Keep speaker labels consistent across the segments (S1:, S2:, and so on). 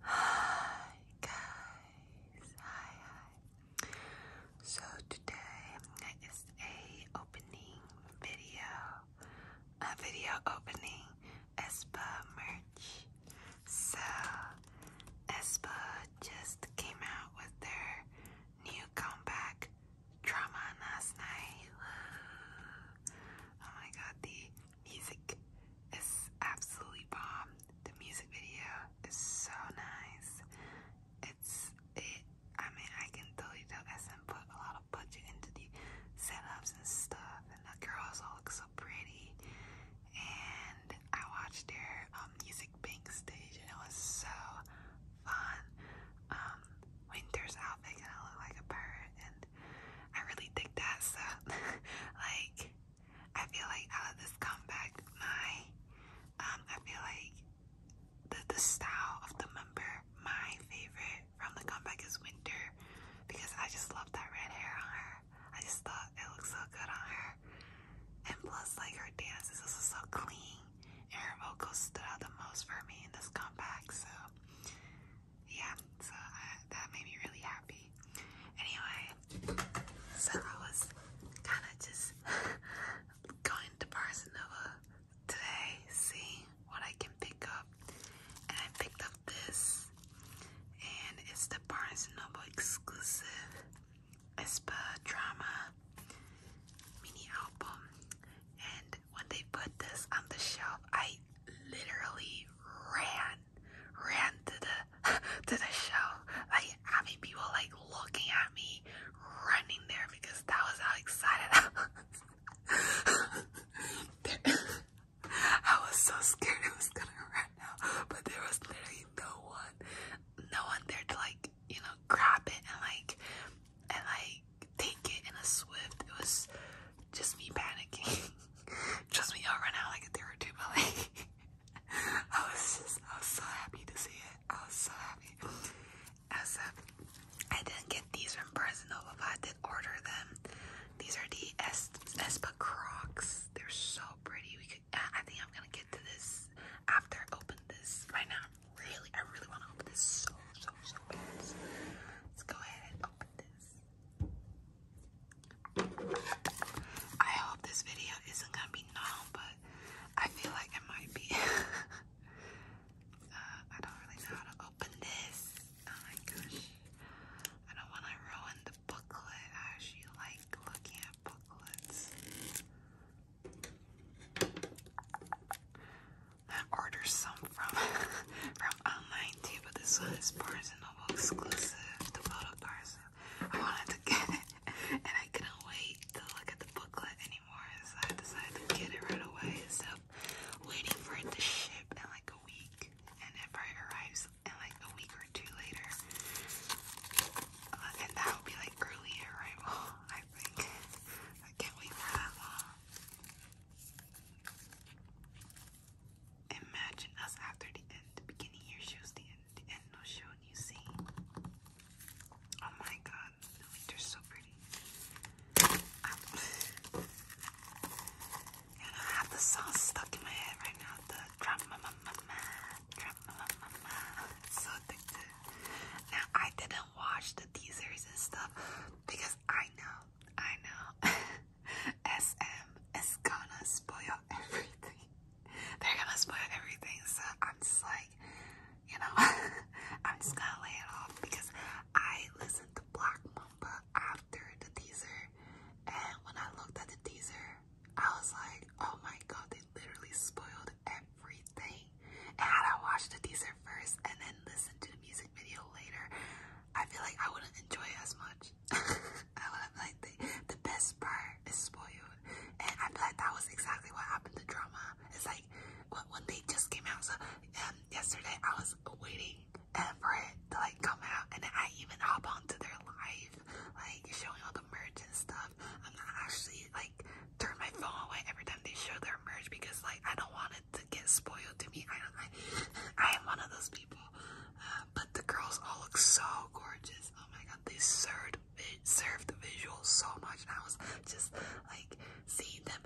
S1: Hi guys, hi hi. So today is a opening video, a video opening Espa merch. So Espa just came out with their new comeback drama last night. Oh my god, the music is absolutely bomb. The music video is so nice. It's it. I mean, I can totally tell SM put a lot of budget into the setups and stuff, and the girls all look so pretty. And I watched their um, music bank stage, and it was so fun. Um, Winter's outfit gonna look like a bird, and I really think that so like I feel like out of this comeback my um I feel like the the style of the member my favorite from the comeback is winter because I just love that red hair on her. I just thought it looked so good on her. And plus like her dance is also so clean and her vocals stood out the most for me in this comeback so yeah, so uh, that made me really happy. Anyway, so I was kind of just going to Barcelona today, seeing what I can pick up, and I picked up this, and it's the Barnes & Noble exclusive Espa Drama mini album, and when they put this on the shelf, I literally ran ran to the to the show. Like having people like looking at me running there because that was how excited I was. I was so scared it was gonna run out, but there was literally no one, no one there to like, you know, grab it and like, and like take it in a swift. It was just me panicking. Trust me, y'all ran out like a day or two, but like I was just I was so happy to see it. I was so happy. I was so happy. I didn't get these from Barnes & Noble, but I did order them. These are the es Espa Crocs. They're so pretty. We could. I think I'm gonna get to this after I open this. Right now, really, I really want to open this so so so fast. Let's go ahead and open this. I hope this video isn't gonna be long, but I feel like it might be. Uh, I don't really know how to open this. Oh my gosh. I don't want to ruin the booklet. I actually like looking at booklets. I ordered some from from online too, but this one is Barnes exclusive, the photo cards. I wanted to get it, and I couldn't wait to look at the booklet anymore, so I decided to get it right away. So waiting for it to ship in like a week, and it arrives in like a week or two later, uh, and that would be like early arrival, I think. I can't wait that long. Imagine us after the end. The beginning here shows the end. The end will show you see. Oh my god, the winter's so pretty. I'm, have the song stuck in my head right now. The drum ma ma ma ma, drum so addictive. Now I didn't watch the teasers and stuff because I know, I know. SM is gonna spoil everything. They're gonna spoil everything, so I'm just like, you know, I'm just gonna lay it off because I listened to Black Mamba after the teaser, and when I looked at the teaser, I was like, oh my god, they literally spoiled everything. And had I watched the teaser first and then listened to the music video later, I feel like I wouldn't enjoy it as much. I was like the, the best part is spoiled. And I feel like that was exactly what happened to drama. It's like when they just came out. um, yesterday I was waiting uh, for it to like come out and I even hop onto their live, like showing all the merch and stuff. I'm actually like turn my phone away every time they show their merch because like I don't want it to get spoiled to me. I don't I, am one of those people. Uh, but the girls all look so gorgeous. Oh my god, they served served the visuals so much, and I was just like seeing them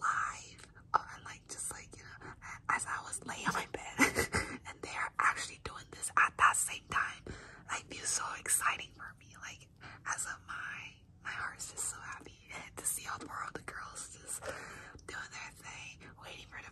S1: live, oh, and like just like you know, as I was laying on my bed, and they are actually doing this at that same time. I feel so exciting for me. Like as of my my heart's just so happy to see all four of the girls just doing their thing, waiting for the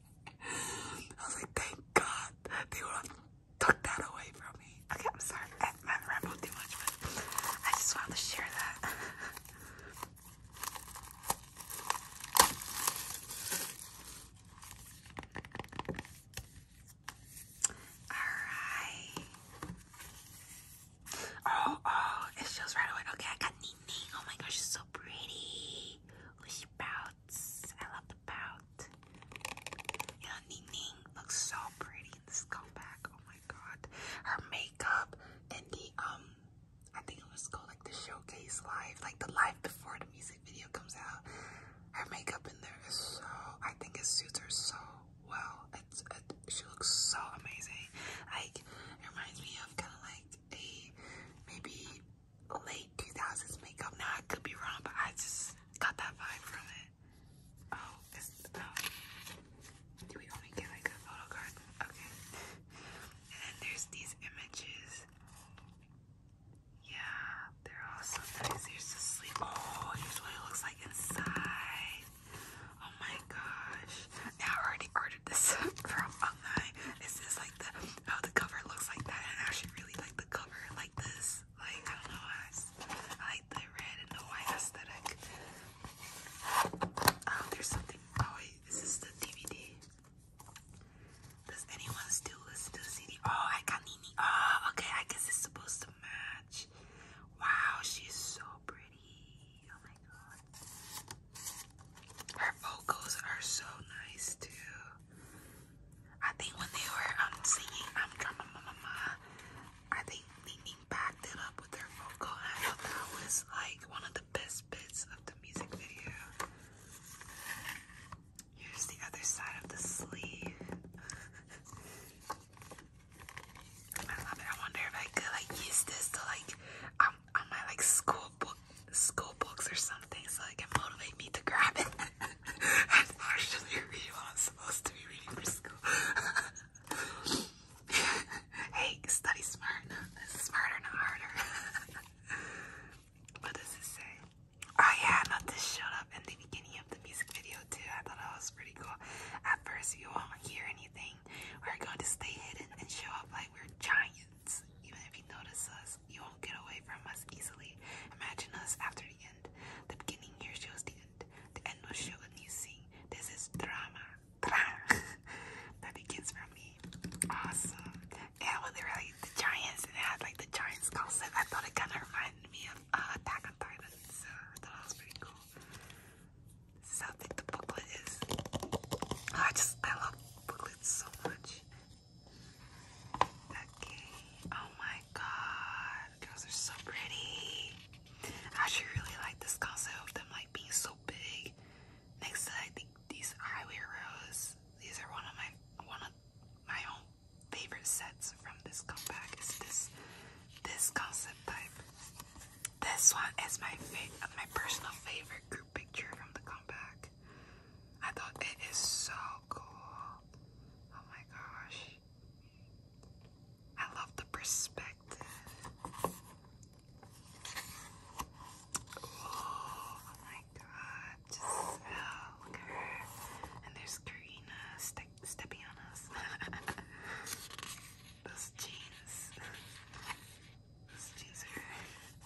S1: I was like, thank God they took that away from me. Okay, I'm sorry. I haven't rambled too much, but I just wanted to share that. Alright. Oh, oh, it shows right away. Okay, I got Nene. Oh my gosh, she's so pretty. Oh, she bowed I love the pout. You looks so pretty in this comeback. Oh my god. Her makeup and the, um, I think it was called like the showcase live, like the live before the music video comes out. Her makeup in there is so, I think it suits her so well. It's, she looks so amazing. Like, it reminds me of kind of like a maybe late 2000s makeup. Now I could be wrong, but I just got that vibe from it. Oh, oh, Do we only get like a photo card? Okay. and then there's these images. Yeah, they're all so nice. Here's the sleeve. Oh, here's what it looks like inside. Oh my gosh. Now I already ordered this from online. This is Oh, the cover looks like that. I actually really like the cover like this. Like I don't know, I, like the red and the white aesthetic. Oh, there's something. Oh is this the DVD? Does anyone still listen to the CD? Oh, I got Nini. Oh, okay. I guess it's supposed to match. Wow, she's so pretty. Oh my god. Her vocals are so nice too. I think when they were um singing I'm Drama Mama, I think Nene backed it up with her vocal and I thought that was like one of the best bits of the music video. Here's the other side of the sleeve. I love it. I wonder if I could like use this to like um on my like school book school books or something so it can motivate me to grab it. That's actually really I'm supposed to be reading for school. hey, study smart. smarter, not harder. what does it say? Oh yeah, not this showed up in the beginning of the music video too. I thought that was pretty cool. At first, you won't hear anything. We're going to stay hidden and show up like we're giants, even if you notice us. You won't get away from us easily. Imagine us after the end. The beginning here shows the end. The end will show a new scene. This is drama. Drama. that begins from me. Awesome. Yeah, well, they're like the Giants, and it had like the Giants concept. I thought it kind of reminded me of uh, Attack on Titan, so I thought that was pretty cool. This the booklet is. I just, I love booklets so much. Okay. Oh my god. Girls are so pretty. I actually really like this concept of them like being so big. Next I think these highway rows. These are one of my one of my own favorite sets from this compact is this this concept type. This one is my my personal favorite group picture from the compact. I thought it is so cool. Oh my gosh. I love the perspective. Oh my god, just look at her. And there's Karina ste Those jeans. Those jeans are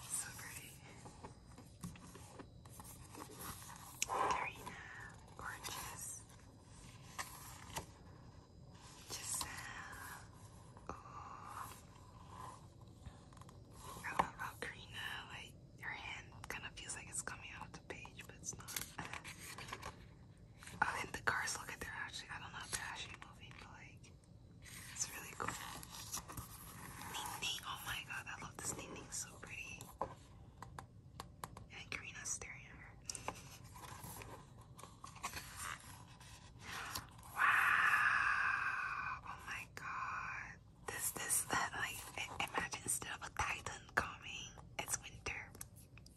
S1: so pretty. Karina, gorgeous. Giselle. Ooh. I Karina, like, your hand kind of feels like it's coming out of the page, but it's not. oh, and the cars look at they're actually, I don't know if they're actually moving, but like, it's really cool. Ning oh my god, I love this Ning so pretty. And Karina's staring at her. Wow! Oh my god. This, this, like, imagine instead of a titan coming, it's winter.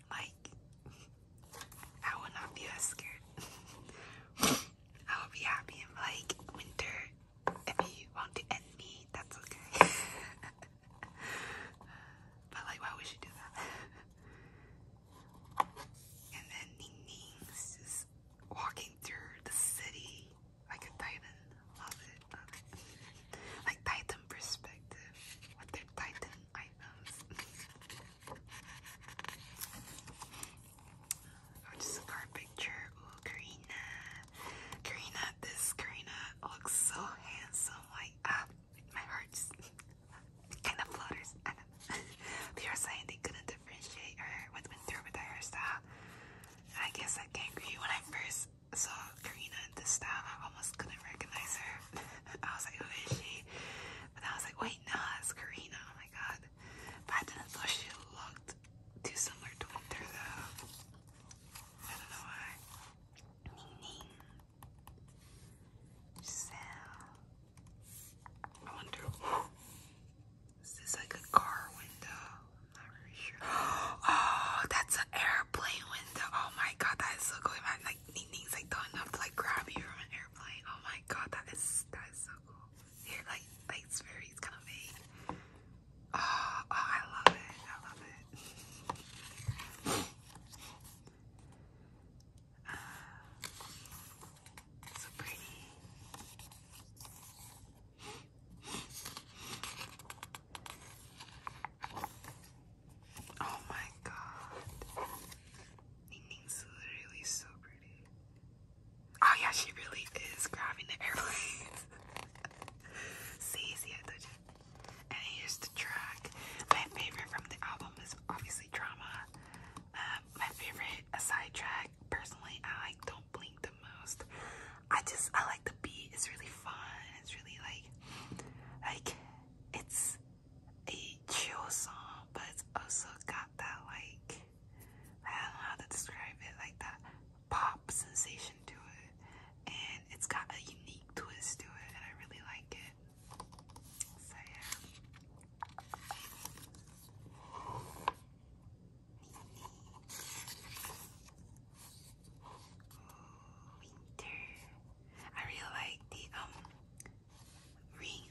S1: Like, I would not be as scared. I would be happy and like, winter if you want to end me, that's okay. but like, why would she do that? and then Ning Ning's just walking through the city like a titan. Love it, love it. like titan perspective with their titan items. oh, just a card picture. Karina. Karina, this Karina looks so handsome. Like, ah, my heart just kind of flutters. I they were saying they couldn't differentiate her what went through with her hairstyle. I guess I can't agree. When I first saw Karina in this style, I almost couldn't recognize her. I was like, who is she? But I was like, wait, no, it's Karina. Oh my god. But I didn't thought she looked too similar to Winter though. I don't know why. Meaning. Giselle. I wonder. Is like a car window? not really sure. Oh, that's an airplane window. Oh my god, that is so cool. like Ning's like going up to like grab you from an airplane. Oh my god, that is that is so cool. Here, like, like it's very it's kind of vague. Oh, I love it. I love it. Ah, so pretty. Oh my god. Ning's literally so pretty. Oh yeah, she really is grabbing the airplanes. See, see, And here's the track. My favorite from the album is obviously Drama. Um, my favorite aside track, personally, I like Don't Blink the most. I just, I like the beat. It's really fun. It's really like, like, it's a chill song, but it's also got that like, I don't know how to describe it, like that pop sensation to it, and it's got a unique twist to it, and I really like it. So yeah. winter. I really like the um ring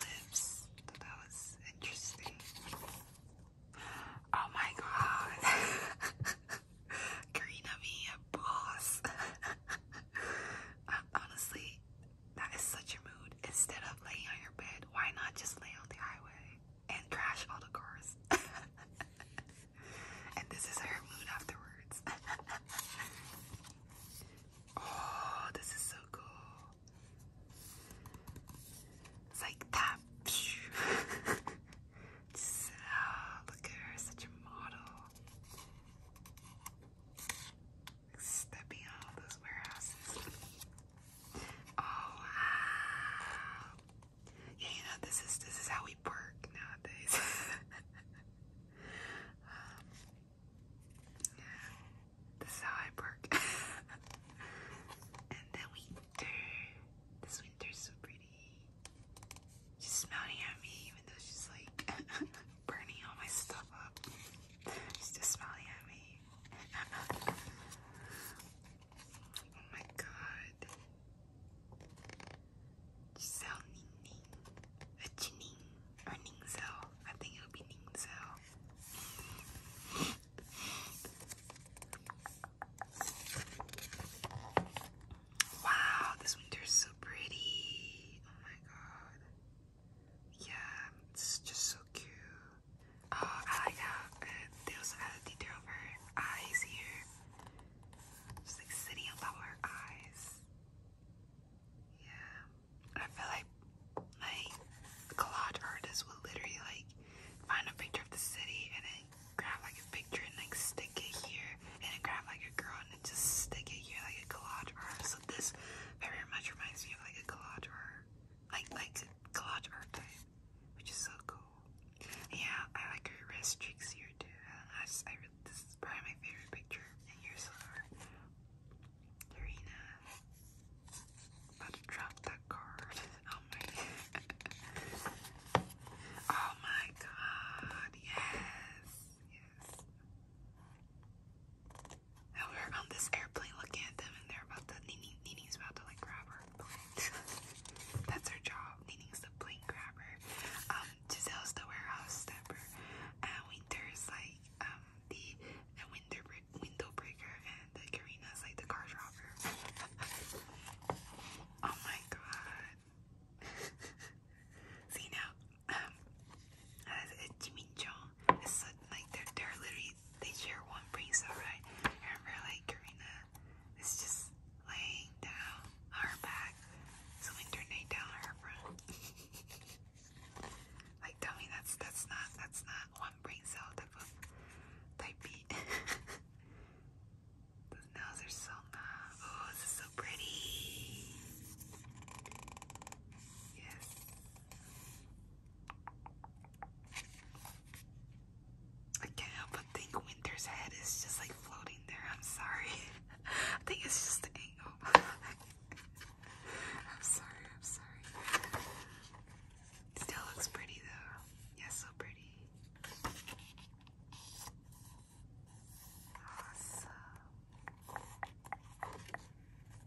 S1: lips. that was interesting. Oh my god. Karina being a boss. Uh, honestly, that is such a mood. Instead of laying on your bed, why not just lay on the highway and crash all the cars? and this is her mood afterwards. oh, this is so cool. It's like that look at her, such a model. Stepping out those warehouses. Oh wow! Yeah, you know this is this is how we work nowadays. Um, yeah, this is how I work. and then winter. This winter's so pretty. She's smiling at me, even though she's like burning all my stuff up. She's just smiling at me. oh my god. Giselle Ning A Jining. Or Ningzell. I think it'll be Ningzell. Wow, this is so pretty. Oh my god. Yeah, it's just so cute. Oh, I like how uh, they also added detail of her eyes here. Just like sitting on top of her eyes. Yeah. I feel like my collage artist would literally like find a picture of the city and grab like a picture and like stick it here and then grab like a girl and just stick it here like a collage art. So this very much reminds me of like a collage art. Like like collage art type. Which is so cool. Yeah, I like her wrist streaks here too. I, just I this is probably my favorite picture. And here's her Karina. About to drop that card. Oh my, god, yes, yes. And we're on this airplane looking at them and they're about to, Nini's about to like grab her. That's her job, Nini's the plane grabber. Um, Giselle's the warehouse stepper. And Winter's like, um, the, window breaker and Karina's like the car driver. Oh my god. See now, um, as a Jimmy it's like they're, they're literally, they share one bracelet, right? remember like Karina is just laying down on back, so turned down her front. like tell me that's, that's not, that's not one brain cell type of, Those nails are so nice. Oh, this is so pretty. Yes. I can't help but think Winter's head is just like floating there. I'm sorry. I think it's just the angle. I'm sorry, I'm sorry. Still looks pretty though. Yeah, so pretty. Awesome.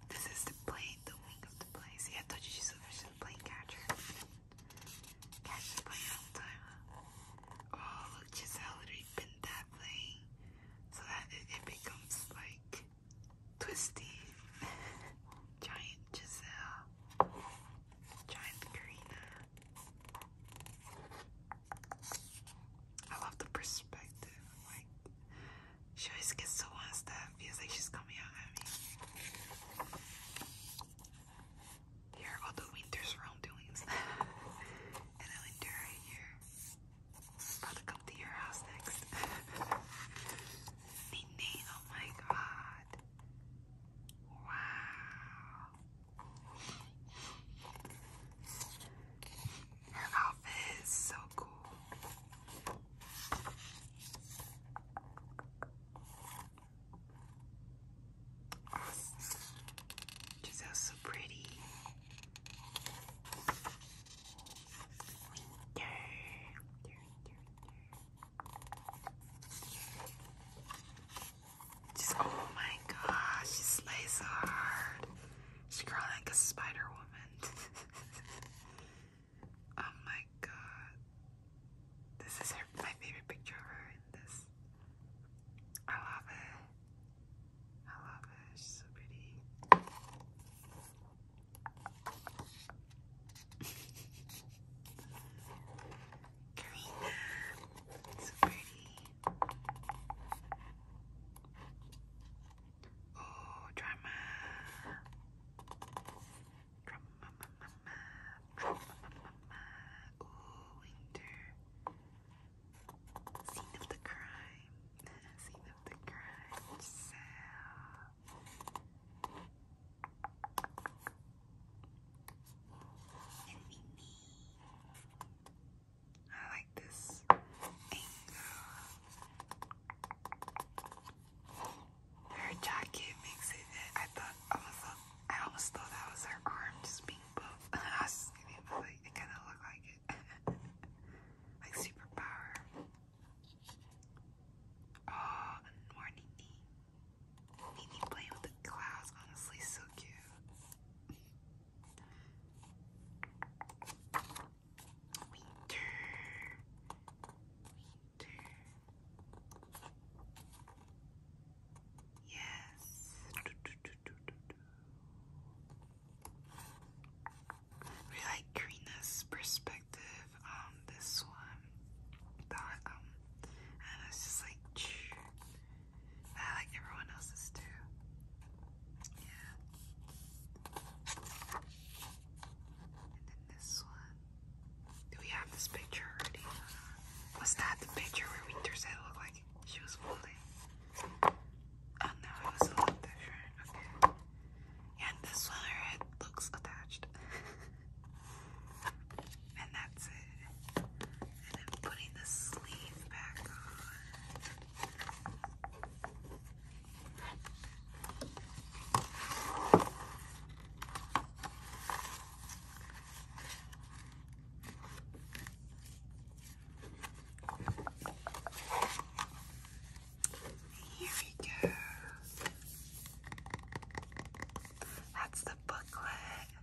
S1: This is the plane, the wing of the plane. See, I told you she's a fish the plane catcher. Catch the plane all the time, Oh, look, already been that plane. So that it, it becomes like twisty. Giant Giselle. Giant Karina. I love the perspective. Like, she always gets the ones that feels like she's coming out at me. Here are all the winter's wrongdoings. and I'll endure it here. about to come to your house next. Nene, oh my god. Wow. Her outfit is so cool. Oh, Giselle's so pretty. She's, oh my gosh, she slays hard. She crawled like a spider woman. oh my god. This is my favorite picture of her this. I love it. I love it. She's so pretty. Karina. So pretty. Oh, drama. Drama, mama, mama. Drama, mama, mama. Oh, winter. Scene of the crime. Scene of the crime. So. I like this angle. Her jacket makes it. I thought I was. I almost thought that was her arms just kidding, but like, it kind of looked like it. like superpower. Oh, morning Mimi playing with the clouds, honestly, so cute. Winter. Winter. Yes. Do, like Karina's perspective on this one. That um, and it's just like, I like everyone else's too. Yeah. And then this one. Do we have this picture already? Was that the picture where Winter said it looked like she was holding? Oh no, it was a little different. Okay. Yeah, this one, her head looks attached. and that's it. And I'm putting the sleeve back on. Here we go. That's the booklet.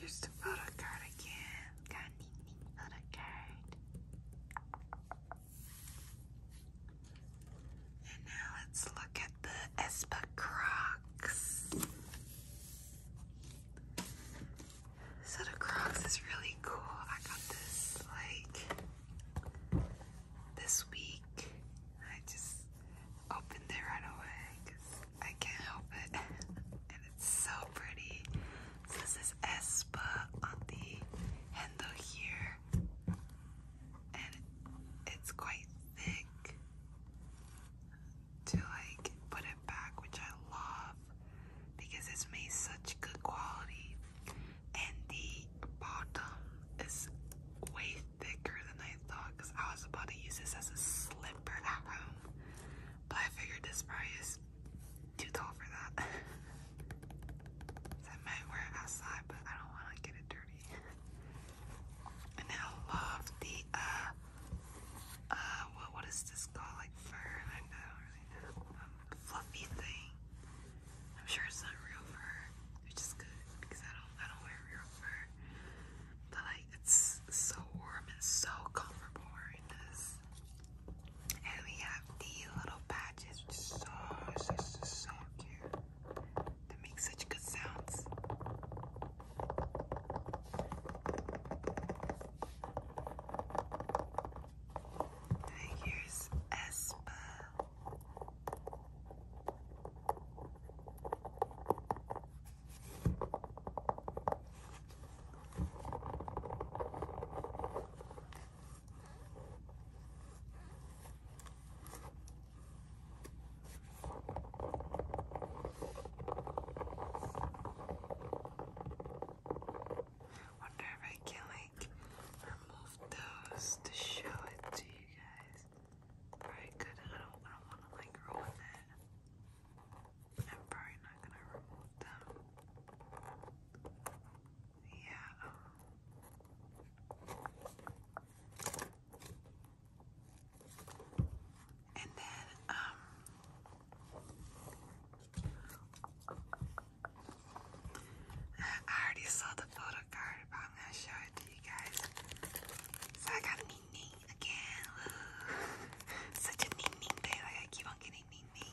S1: Use the photocard again. Got neat photocard. And now let's look at the Espa Crocs. So the Crocs is really cool. I got this like this week. I just opened it right away because I can't help it. and it's so pretty. this is Espa on the handle here. And it's quite thick to like put it back, which I love because it's made such good quality and the bottom is way thicker than I thought because I was about to use this as a slipper at home, but I figured this probably is too tall for that. I might wear it outside, but I don't want to get it dirty. and I love the uh, uh, what, what is this called? Like fur? I know. Um, fluffy thing. I'm sure it's not real fur, which is good because I don't I don't wear real fur. But like it's so warm and so comfortable wearing this. And we have the little patches, which is so so so, cute. That make such good sounds. Here's Espa. Wonder if I can remove those to show it to you guys. Alright, good. I don't, want to like ruin it. I'm probably not gonna remove them. Yeah. Um. And then, um, I already saw the photo card, but I'm gonna show it to you guys. So I got Ning again. Such a Ning day, like I keep on getting Ning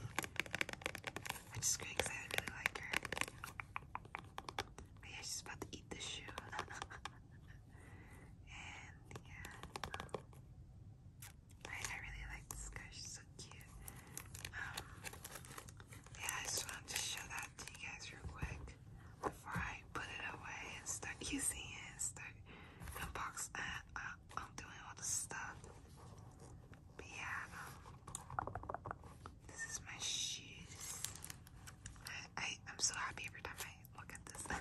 S1: i just great because I really like her. yeah, she's about to eat the shoe. and yeah. I, really like this um, yeah, I just wanted to show that to you guys real quick before I put it away and start using and start unboxing. Uh, uh, I'm doing all the stuff. But yeah, um, this is my shoes. I I'm so happy every time I look at this.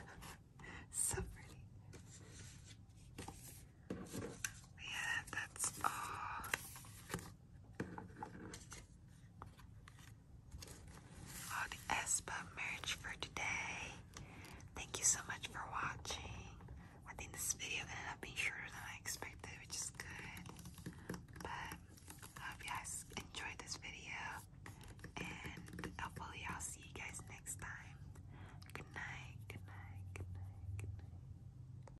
S1: so pretty. Yeah, that's all all the Espa merch for today. Thank you so much for watching. I think this video ended up being shorter than I expected, which is good. But I hope you guys enjoyed this video, and hopefully I'll see you guys next time. Good night. Good night. Good night. Good night.